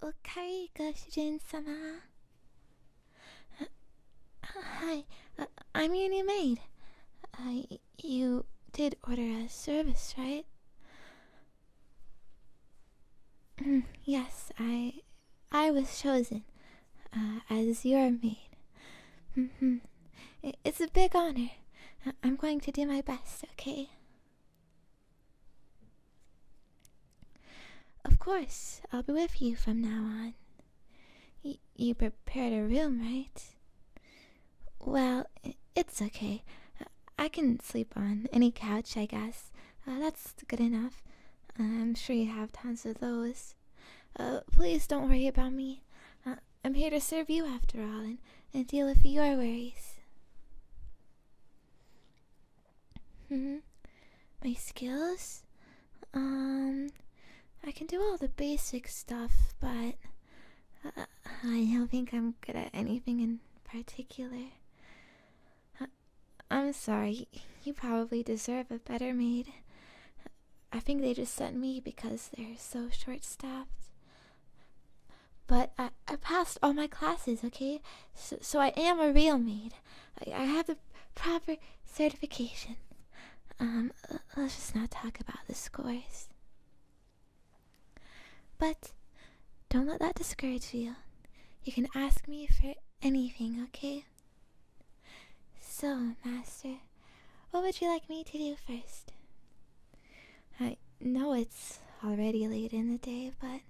おかえりご主人様 hi uh, i'm your new maid uh, you did order a service right mm, yes i i was chosen uh, as your maid mm-hmm. it's a big honor i'm going to do my best okay of course, I'll be with you from now on. you prepared a room, right? Well, it's okay. I can sleep on any couch, I guess. Uh, that's good enough. I'm sure you have tons of those. Uh, please don't worry about me. Uh, I'm here to serve you after all and deal with your worries. Hmm. My skills? Um, I can do all the basic stuff, but uh, I don't think I'm good at anything in particular. Uh, I'm sorry, you probably deserve a better maid. I think they just sent me because they're so short staffed. But I, I passed all my classes, okay? So, I am a real maid. I, I have the proper certification. Um, let's just not talk about the scores. But don't let that discourage you. You can ask me for anything, okay? So, Master, what would you like me to do first? I know it's already late in the day, but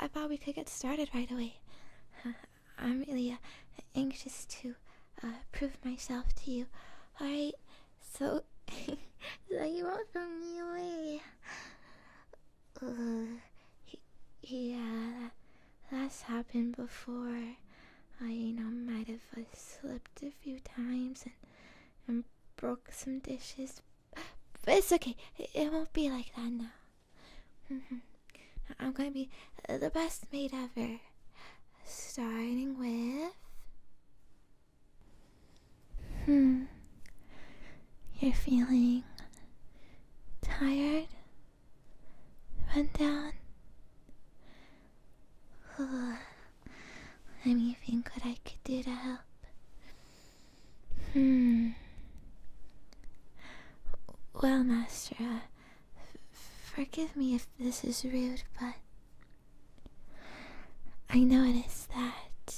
I thought we could get started right away. I'm really uh, anxious to uh, prove myself to you. Alright, so, so you won't throw me away. Uh, yeah, that's happened before. I, know, might have slipped a few times and, and broke some dishes, but It's okay. It won't be like that now. Mm-hmm. I'm gonna be the best maid ever. Starting with. Hmm. You're feeling tired, run down. Let me think what I could do to help. Hmm. Well, Master, uh, forgive me if this is rude, but I notice that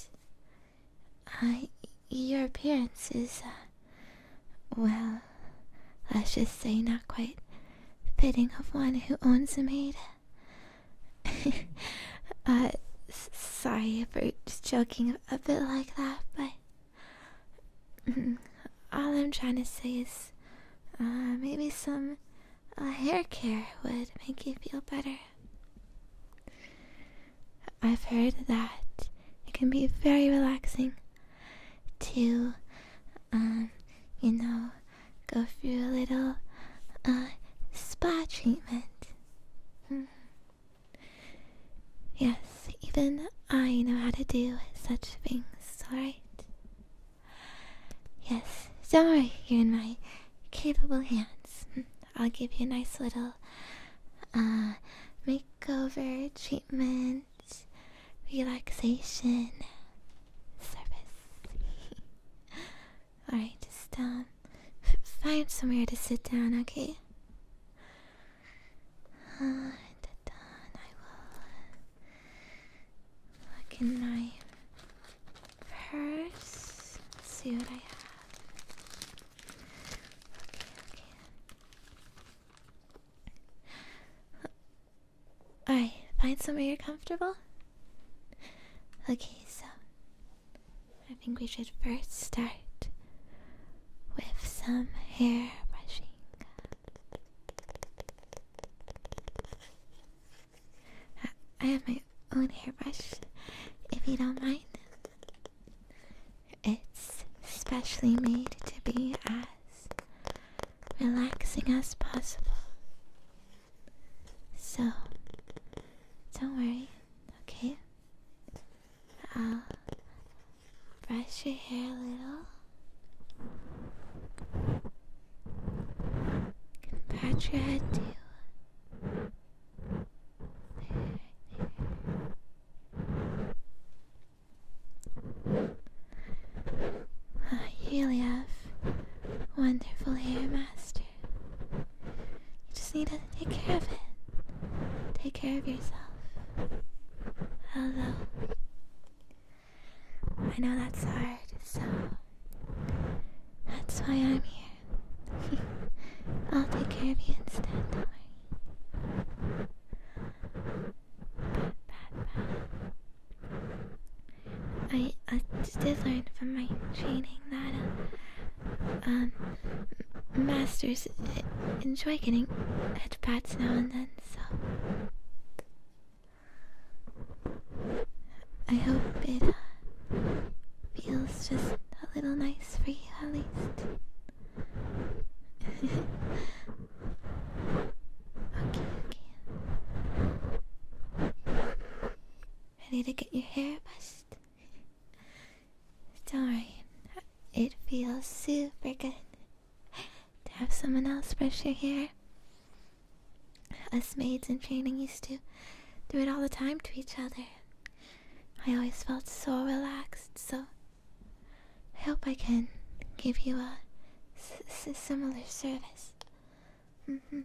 uh, your appearance is, uh, well, let's just say not quite fitting of one who owns a maid. Uh, sorry for joking a bit like that, but mm-hmm, all I'm trying to say is uh, maybe some uh, hair care would make you feel better. I've heard that it can be very relaxing to, um, you know, go through a little spa treatment. Hmm. Yes, even I know how to do such things, alright? Yes, don't worry, you're in my capable hands. I'll give you a nice little uh, makeover, treatment, relaxation service. Alright, just um, find somewhere to sit down, okay? Uh, done. I will look in my purse, see what I have. Alright, find somewhere you're comfortable. Okay, so I think we should first start with some hair brushing. I, have my own hairbrush, if you don't mind. It's specially made to be as relaxing as possible. So, don't worry, okay? I'll uh, brush your hair a little. You pat your head too. There, there. you really have wonderful hair, Master. You just need to take care of it. Take care of yourself. Hello. I know that's hard, so that's why I'm here. I'll take care of you instead, I, I did learn from my training that uh, um, masters enjoy getting head pats now and then, so. I hope it uh, feels just a little nice for you at least. okay. Ready to get your hair bust? Darn, it feels super good to have someone else brush your hair. Us maids in training used to do it all the time to each other. I always felt so relaxed, so I hope I can give you a similar service. Mm -hmm.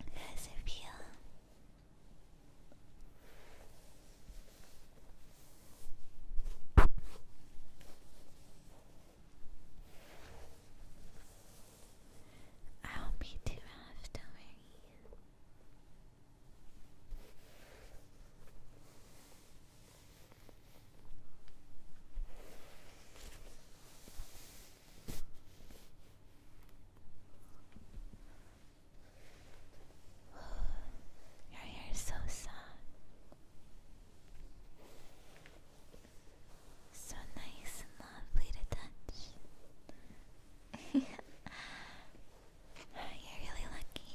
How does feel? I'll be too rough, do Your hair is so soft, so nice and lovely to touch. You're really lucky.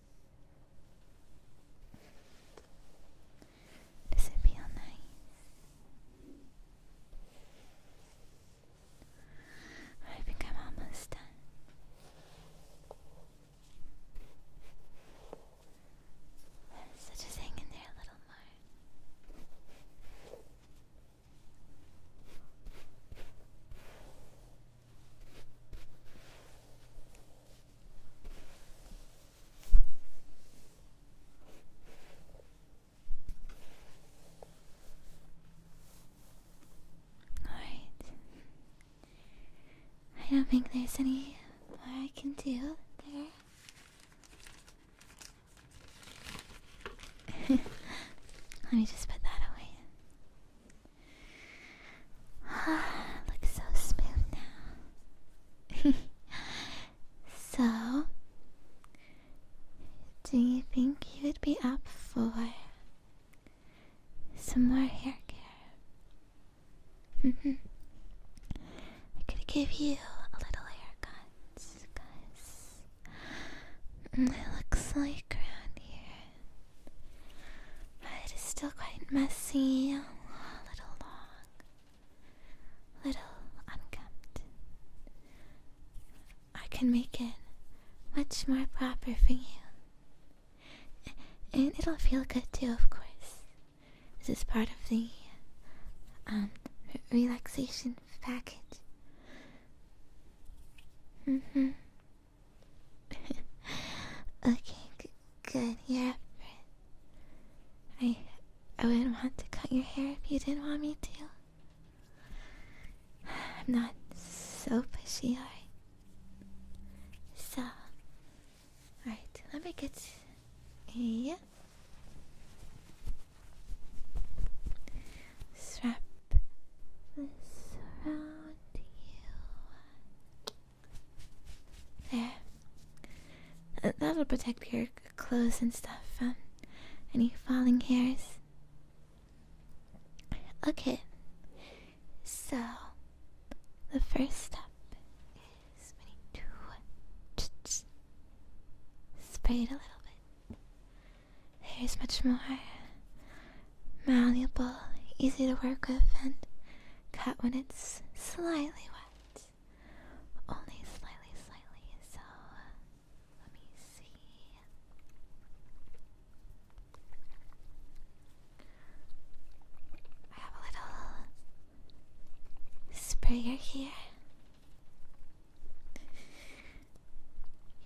Does it feel nice? I think I'm almost done. So just hang in there a little more. Alright. I don't think there's any more I can do there. Let me just put that away. Looks so smooth now. so, do you think you'd be up for some more hair care? I could give you a little haircut because mm, it looks like around here it is still quite messy, a little long, little unkempt. I can make it much more proper for you. And it'll feel good too, of course. This is part of the um, relaxation package. Mm hmm. okay, good. Yeah. I, I wouldn't want to cut your hair if you didn't want me to. I'm not so pushy, alright? So, alright, let me get. Yeah. wrap this around you. There. that'll protect your clothes and stuff from any falling hairs. Okay. So, the first step is we to spray it a little bit. Hair is much more malleable, easy to work with, and cut when it's slightly wet. Only slightly, slightly. So, let me see. I have a little sprayer here.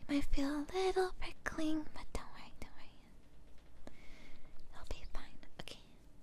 You might feel a little prickling, but don't worry, don't worry. It'll be fine. Okay.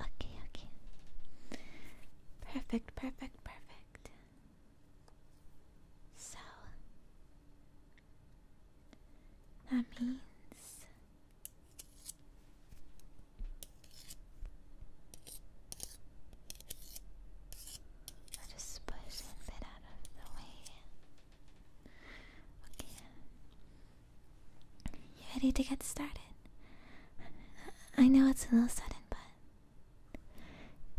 Okay, okay. Perfect, perfect, perfect. So that means i just push it out of the way. You ready to get started? I know it's a little sudden, but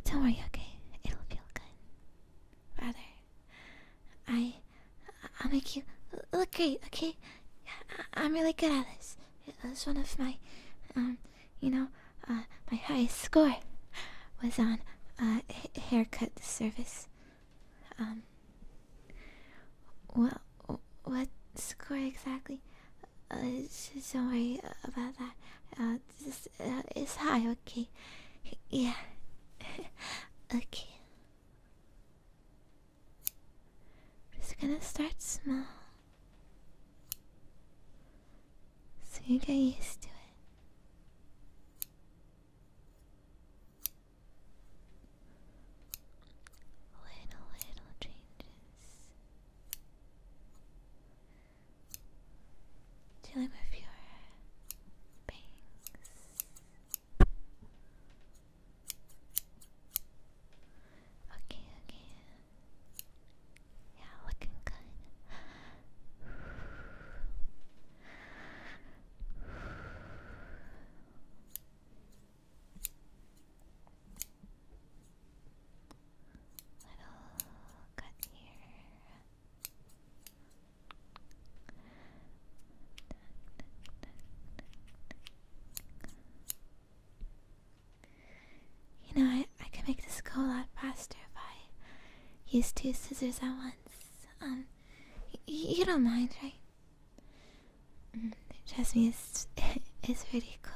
don't worry, okay? It'll feel good. Rather, I, I'll make you look great, okay? I I'm really good at this. It was one of my, um, you know, uh, my highest score was on uh, haircut service. Um. Well, what score exactly? Uh, just don't worry about that. Uh, this uh, is high, okay? Yeah. okay. Just gonna start small. So you get used to it. Little, little changes. Dealing with your bangs. Okay, okay. Yeah, looking good. Little cut here. You know, I, I can make this go a lot faster if I use two scissors at once. Um, you don't mind, right? Mm, trust me, it's, it's pretty cool.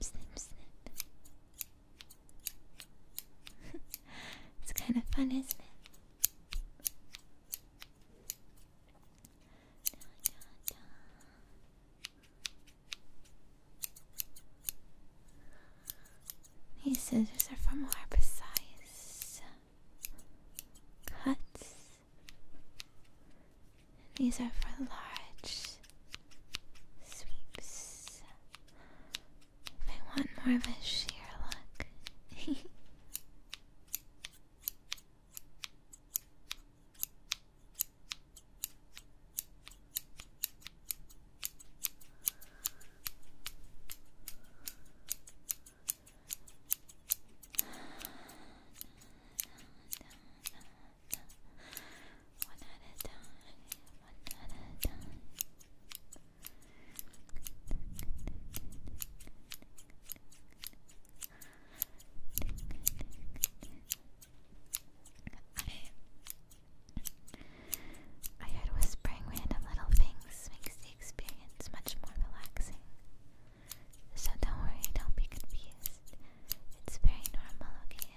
Snip, snip, snip. it's kind of fun, isn't it? These scissors are for more precise cuts. These are for large sweeps. If I want more of a sheer look. One at a time, one at a time. I heard whispering random little things makes the experience much more relaxing. So don't worry, don't be confused. It's very normal, okay?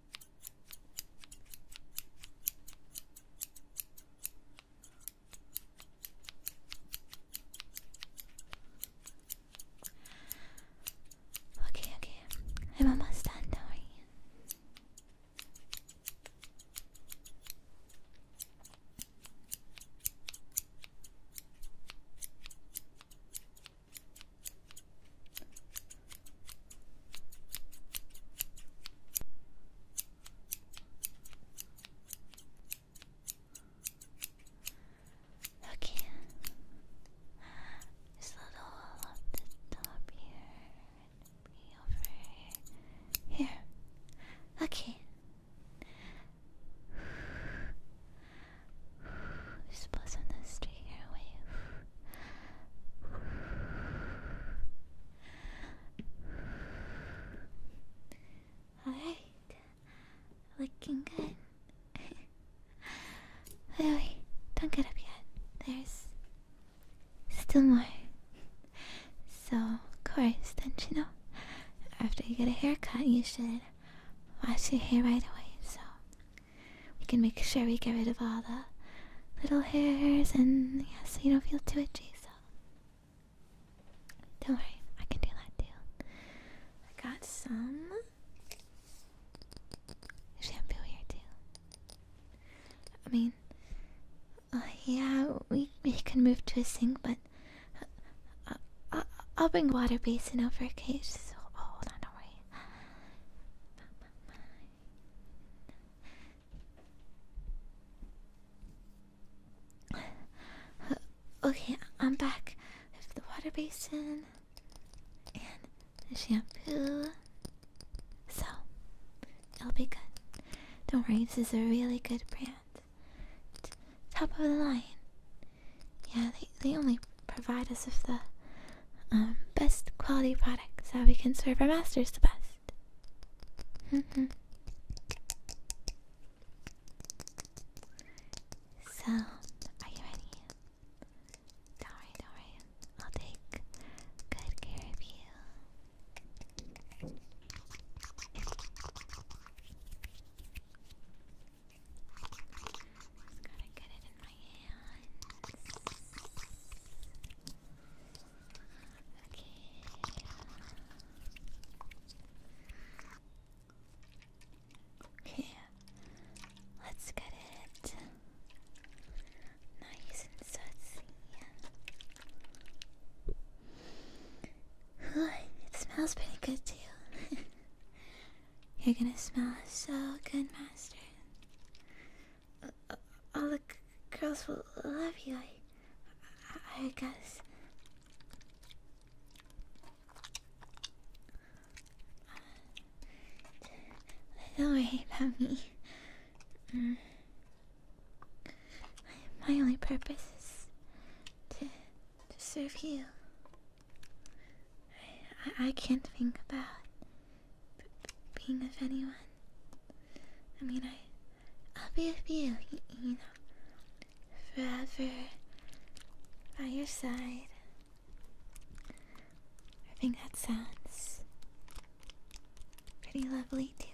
Okay, okay. I'm almost done, don't worry. Okay. Just a little off the top here. Be over here. Here. Okay. Just bless on the straight airway. Alright. Looking good. wait, don't get up yet. There's still more. So, of course, don't you know? After you get a haircut, you should wash your hair right away so we can make sure we get rid of all the little hairs and yeah, so you don't feel too itchy, so don't worry, I can do that too. I got some shampoo here too. I mean, uh, yeah, we, we can move to a sink, but uh, uh, I'll bring water basin over a cage, so oh, hold on, don't worry. okay, I'm back with the water basin and the shampoo. So, it'll be good. Don't worry, this is a really good brand. top of the line. Yeah, they, they only provide us with the um, best quality products that we can serve our masters the best. Mm-hmm. so, are you ready? Don't worry, don't worry. I'll take good care of you. gotta get it in my hands. Okay. Okay. Let's get it nice and sudsy. it smells pretty good too. You're gonna smell so good, Master all the girls will love you. I, guess. Uh, don't worry about me. Mm. My only purpose is to, to serve you. I can't think about being of anyone. I mean, I, I'll be with you, you, know, forever by your side. I think that sounds pretty lovely too.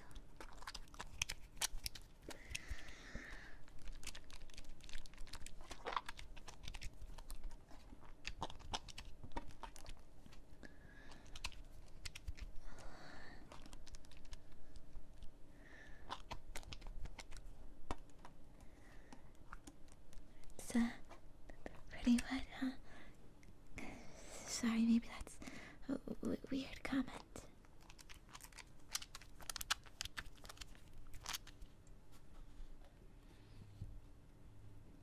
It's a pretty wet, huh? Sorry, maybe that's a weird comment.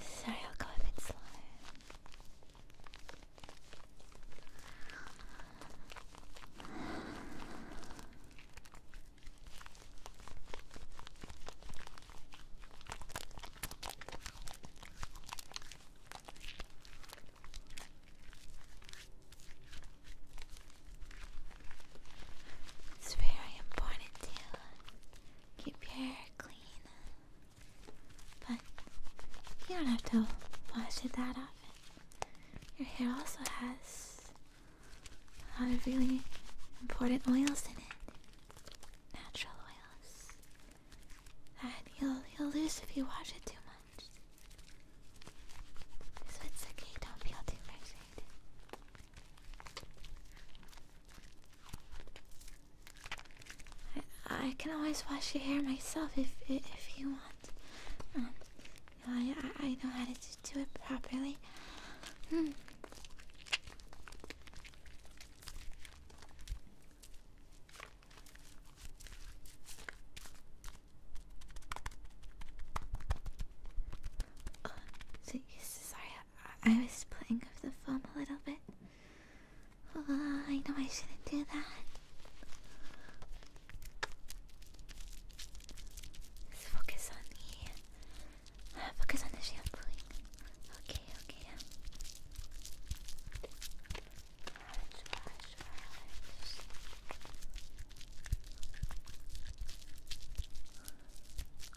Sorry, I'll go a bit slow. It's very important to keep your hair clean. But you don't have to wash it that often. Your hair also has a lot of really important oils in it. Natural oils. That you'll you'll lose if you wash it too much. So it's okay, don't feel too frustrated. I, can always wash your hair myself if if, you want. Um, I I know how to do it properly. Hmm. Oh, sorry, I was playing with the foam a little bit. Oh, I know I shouldn't do that. Uh, focus on the focus on the shampooing. Okay, okay.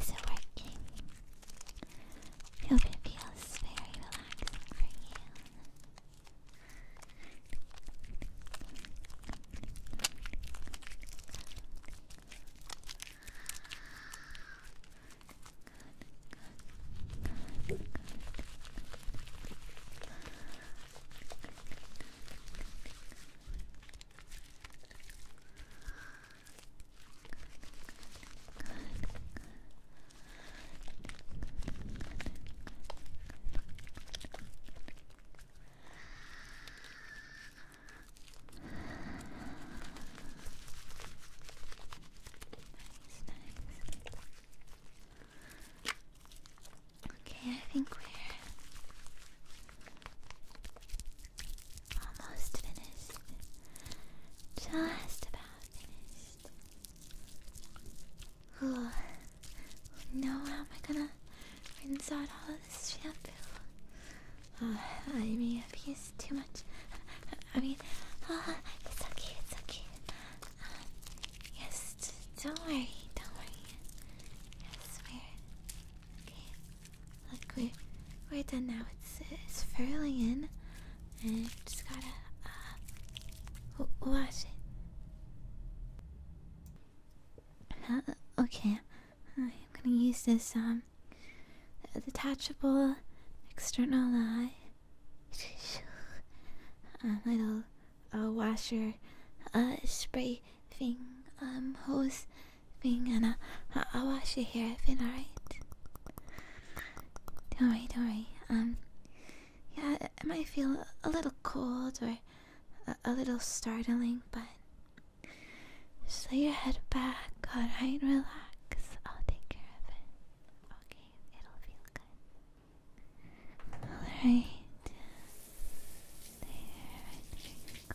Is it working? I hope it feels very relaxing for you. Okay, I think we're Almost finished. Just about finished. Oh, No, how am I gonna rinse out all of this shampoo? Oh, I mean, if he's too much. I mean, uh, it's okay, it's okay. Uh, yes, don't worry, don't worry. Yes, we're okay. Like we're we're done now. It's it's furling in and just gotta uh, wash it. okay, I'm gonna use this um detachable external uh, uh little uh, washer uh spray thing um hose thing, and I uh, I'll wash your hair if it alright. Don't worry, don't worry. Um, yeah, it might feel a little cold or a, little startling, but just lay your head back, alright? Relax. I'll take care of it. Okay, it'll feel good. Alright. There, there you go.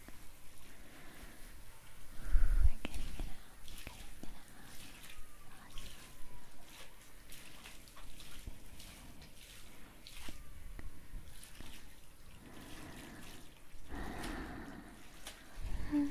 We're getting it out, getting it out. Awesome. Relax,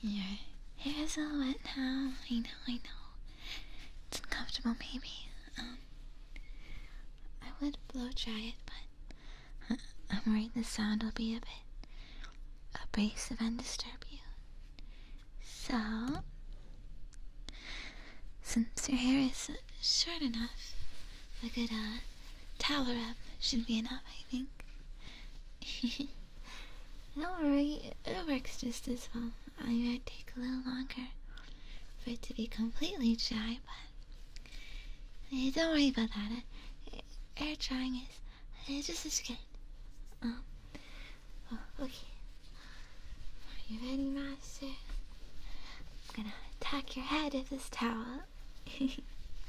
Your hair's all wet now. I know, I know. It's uncomfortable, maybe. Um, I would blow dry it, but uh, I am worried the sound will be a bit abrasive and disturb you. So, since your hair is short enough, a good uh, towel wrap should be enough, I think. Don't worry, it works just as well. I might take a little longer for it to be completely dry, but don't worry about that. Uh, air drying is it's uh, just as good. Oh, oh, okay. Are you ready, Master? I'm gonna attack your head with this towel.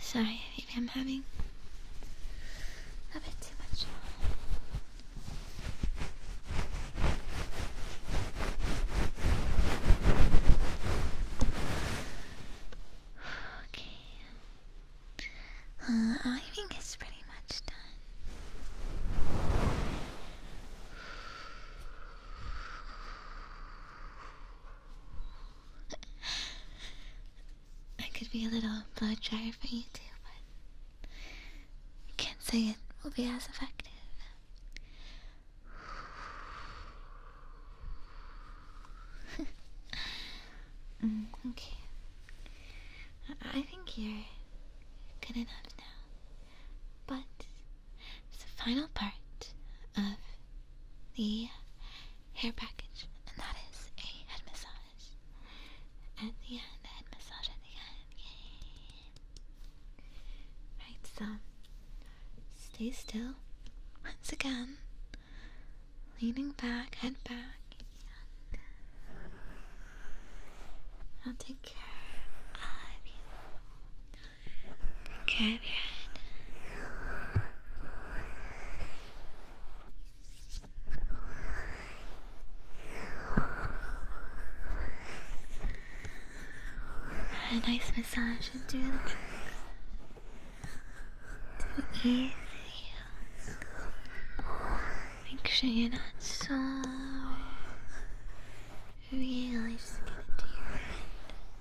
Sorry, maybe I'm having a bit too much Okay. Uh, I think it's pretty much done. I could be a little blow dryer for you too, but can't say it will be as effective. Mm, okay. I think you're good enough now. But it's the final part of the hair package, and that is a head massage. At the end, head massage at the end. Yay! Right, so stay still. Once again, leaning back, head back. I'll take care of you. Grab A nice massage will do Make sure you're not so really scared to your head.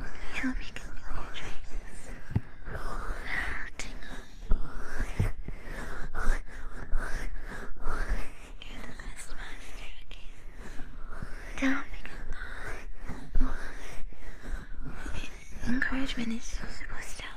I hope you can feel your dreams. Tonight. You're the best master, okay? Tell me goodbye. Encouragement is supposed to help,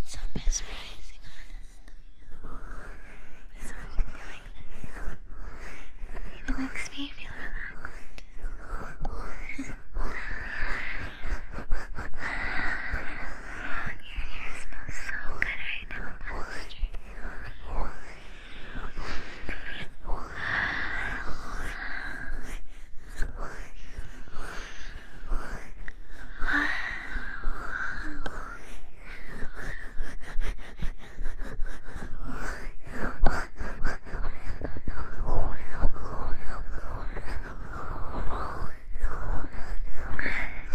it's so mesmerizing, honestly. It's so it makes me feel relaxed. your hair smells so good right now,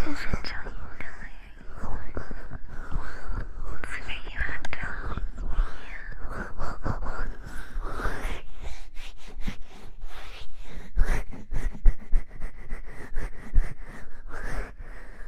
just until you die. It's where you have to yeah.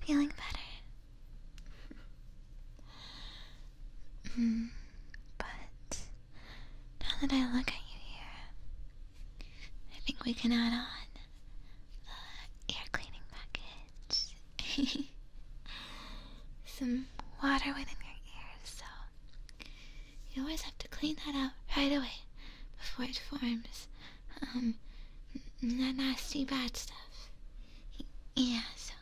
Feeling better? Mm, but now that I look at you here, I think we can add on the air cleaning package. Some water went in your ears, so you always have to clean that out right away before it forms um, that nasty bad stuff. Yeah, so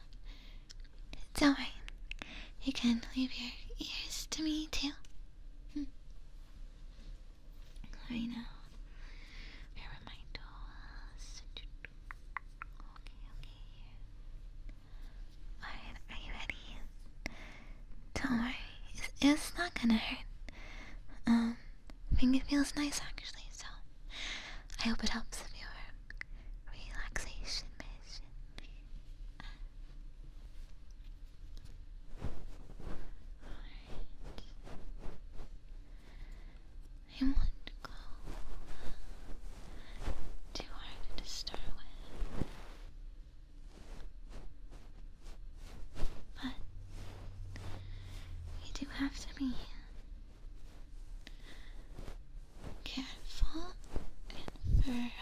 it's alright. You can leave your ears to me too. Hmm. I know. Where are my toes? Okay, okay. Alright, are you ready? Don't worry, it's, not gonna hurt. I think it feels nice actually, so I hope it helps with your relaxation mission. I want to go too hard to start with. But we do have to be careful and thorough.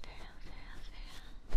Thorough, thorough,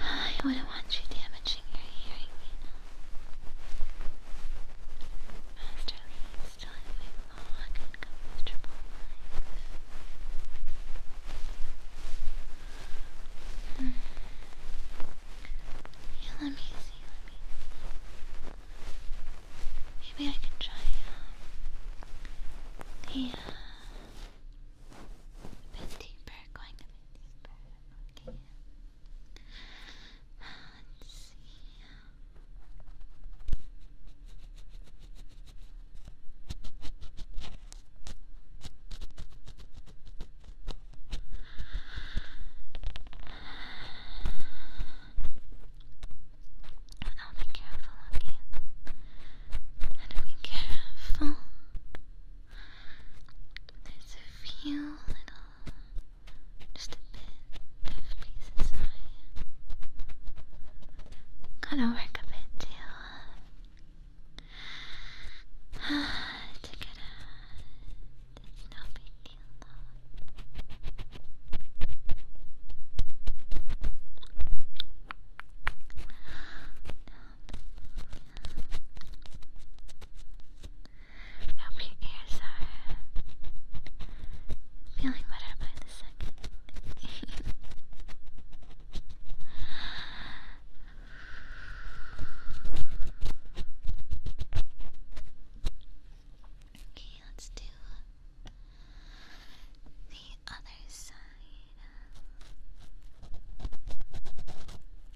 I wouldn't want you damaging your hearing, Master Lee is still living long and comfortable mm. let me see, let me Maybe I can try um, uh, the uh, deeper, going a bit deeper. Okay. Let's see. I'll be careful of you. be careful. There's a few little, just a bit of pieces I gotta work a bit to get out. It's no big I hope your ears are feeling better by the second. okay, let's do the other side.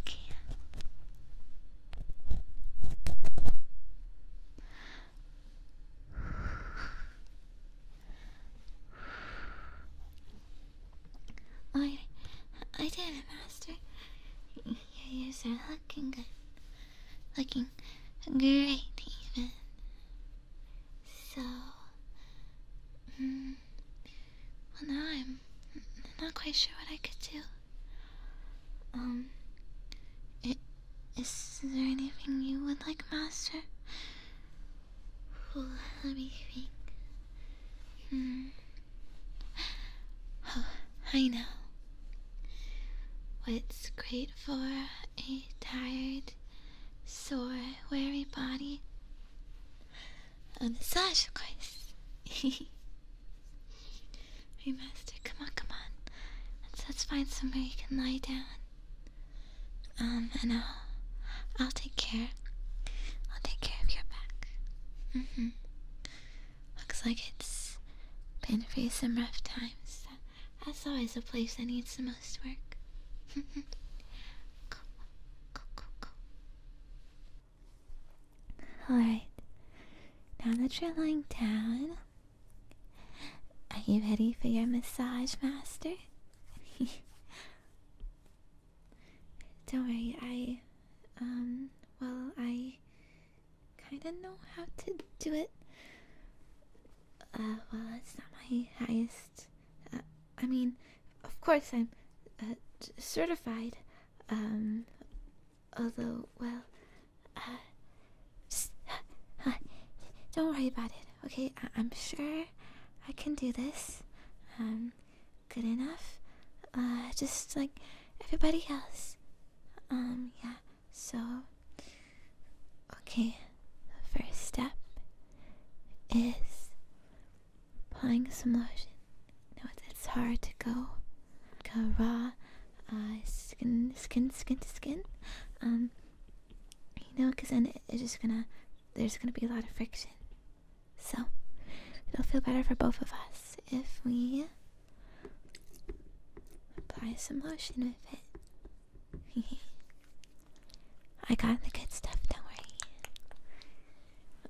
Okay. I, I did it, Master. Your ears are looking good. Looking great, So, mm, well, now I'm not quite sure what I could do. Um, it, is there anything you would like, Master? let me think. Hmm. Oh, I know. What's great for a tired, sore, weary body? a um, massage, of course. Remaster, come on, come on. Let's, let's find somewhere you can lie down. Um, and I'll, I'll take care. I'll take care of your back. Mm hmm Looks like it's been through some rough times. That's always the place that needs the most work. cool, cool, cool, cool. Alright, now that you're lying down, are you ready for your massage, Master? Don't worry, I, um, well, I kinda know how to do it. Uh, well, it's not my highest uh, I mean, of course I'm uh, certified. Um, although, well, uh, don't worry about it. Okay, I am sure I can do this. Um, good enough. just like everybody else. Um, yeah. So, okay. The first step is applying some lotion. Now it's, it's hard to go like a raw uh, skin, skin, skin to skin. Um, you know, because then it, it's just gonna there's gonna be a lot of friction. So it'll feel better for both of us if we apply some lotion with it. I got the good stuff. Don't worry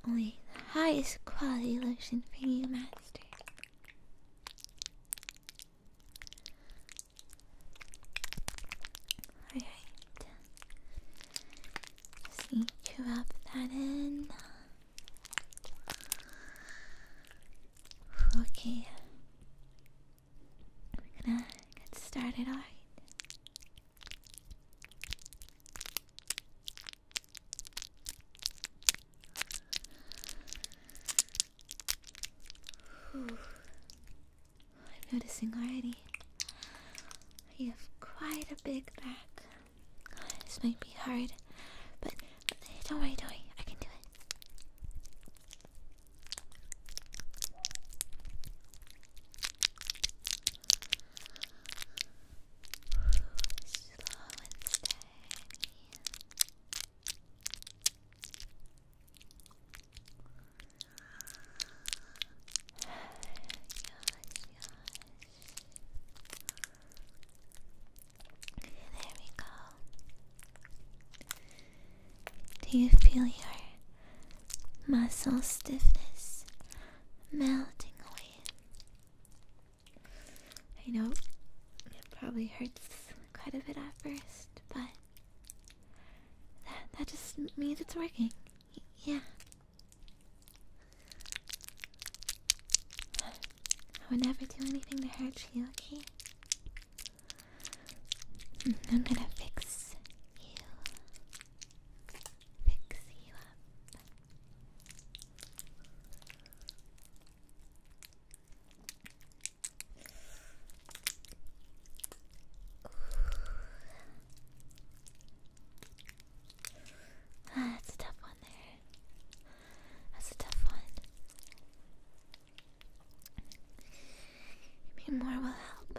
only the highest quality lotion for you, Master. Alright. Just need to that in. Okay. We're gonna get started, alright? I'm noticing already. You have quite a big back. This might be hard, but don't worry, don't worry. I can do it. Slow and steady. There we go. Do you feel your muscle stiffness melting away. I know it probably hurts quite a bit at first, but that, that just means it's working. yeah. I would never do anything to hurt you, okay? I'm gonna fix you. Fix you up. Ah, that's a tough one there. That's a tough one. Maybe more will help.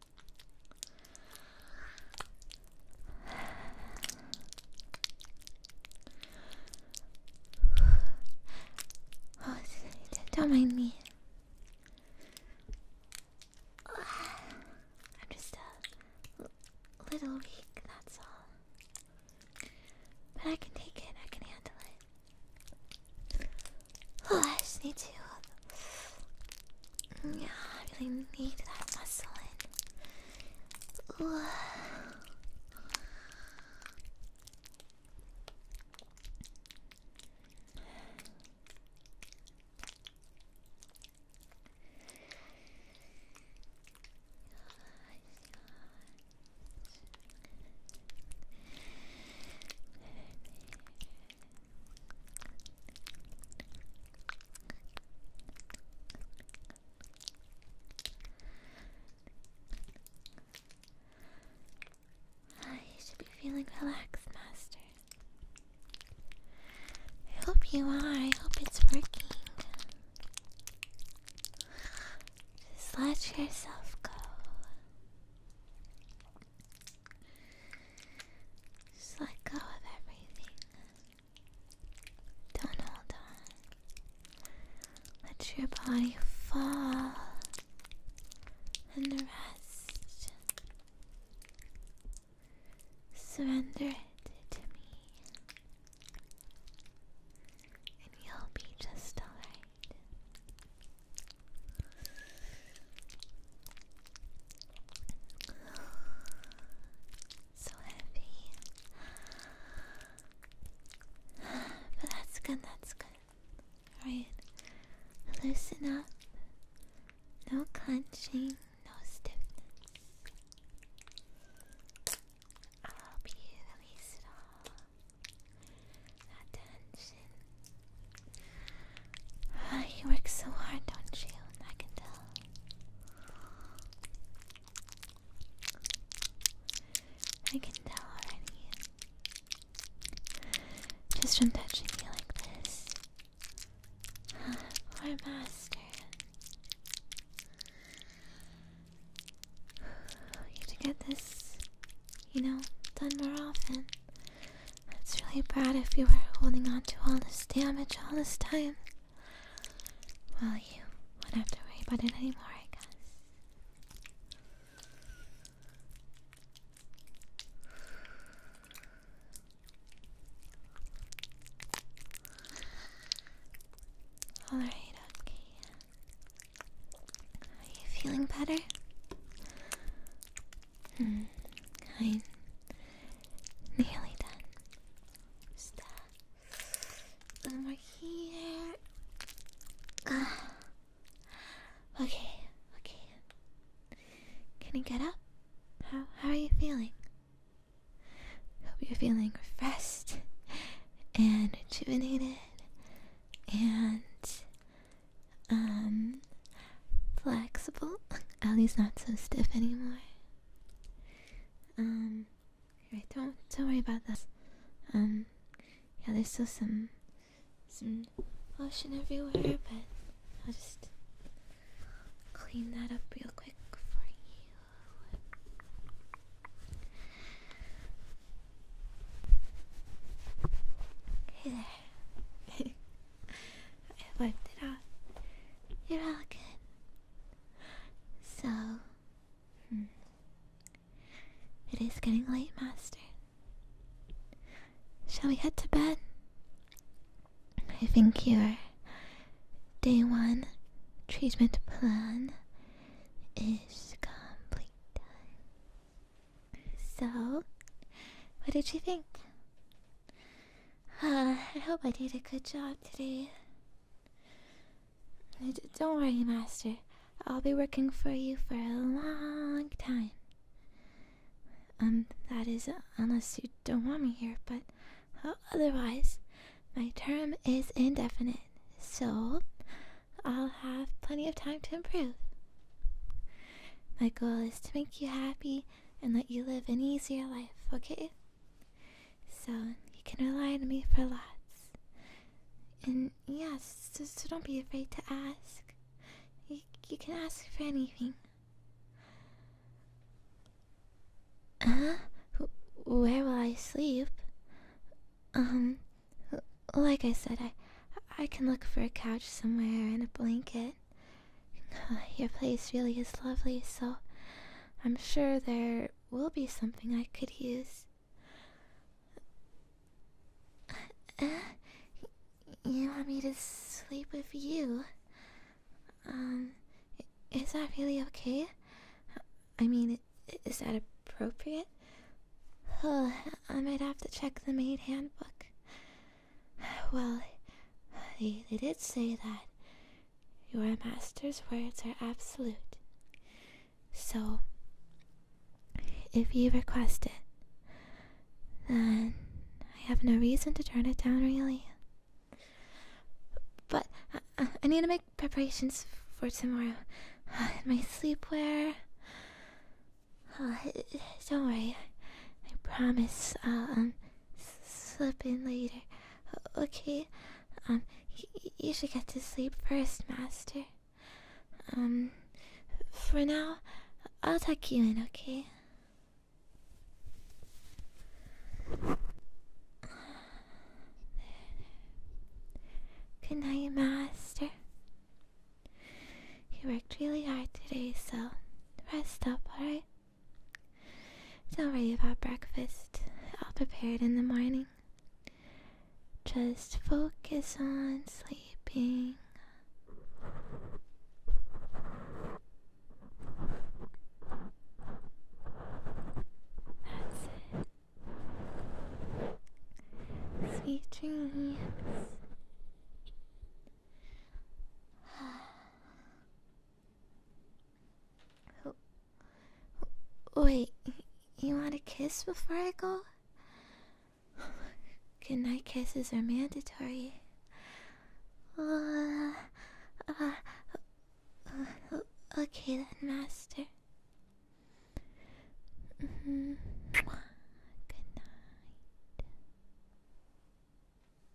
don't mind me. I'm just a little weak, that's all. But I can take it, I can handle it. Oh, I need to yeah, I really need that muscle in. Ooh. Ah, should be feeling relaxed, Master. I hope you are. I hope it's working. Just let yourself go. Just let go of everything. Don't hold on. Let your body fall and rest. Surrender it to me, and you'll be just alright. So heavy. But that's good, that's good. Alright. Loosen up. No clenching, no stiffness. I'll help you release it all. That tension. Ah, you work so hard, don't you? I can tell. I can tell already. Just from touching you like this. Poor master. You to get this, you know, done more often. It's really bad if you were holding on to all this damage all this time. Well, you won't have to worry about it anymore, I guess. Alright, okay. Are you feeling better? Hmm. i Nearly done. Just that. One here. Ah. Okay, okay. Can you get up? How how are you feeling? Hope you're feeling refreshed and rejuvenated and um flexible. At least not so stiff anymore. Um, don't don't worry about that. Um, yeah, there's still some some ocean everywhere, but I'll just clean that up real quick for you. Hey there. I wiped it off. You're all good. So, hmm. It is getting late, Master. Shall we head to bed? I think your day one treatment plan is complete. So, what did you think? Uh, I hope I did a good job today. Uh, don't worry, Master. I'll be working for you for a long time. Um, that is, unless you don't want me here, but uh, otherwise, my term is indefinite, so I'll have plenty of time to improve. My goal is to make you happy and let you live an easier life, okay? So, you can rely on me for lots. And yes, so, so don't be afraid to ask. You, you can ask for anything. Huh? Where will I sleep? Um, like I said, I, I can look for a couch somewhere and a blanket. Your place really is lovely, so I'm sure there will be something I could use. you want me to sleep with you? Um, is that really okay? I mean, is that appropriate? I might have to check the maid handbook. Well, they, did say that your master's words are absolute. So, if you request it, then I have no reason to turn it down, really. But I, need to make preparations for tomorrow. Uh, my sleepwear. don't worry. I promise I'll um, slip in later. Okay. Um, you should get to sleep first, Master. Um, for now, I'll tuck you in, okay? Good night, Master. You worked really hard today, so rest up, alright? It's already about breakfast. I'll prepare it in the morning. Just focus on sleeping. That's it. Sweet dreams. wait, you want a kiss before I go? Goodnight kisses are mandatory. Uh, uh, okay then, master. -hmm. Good night.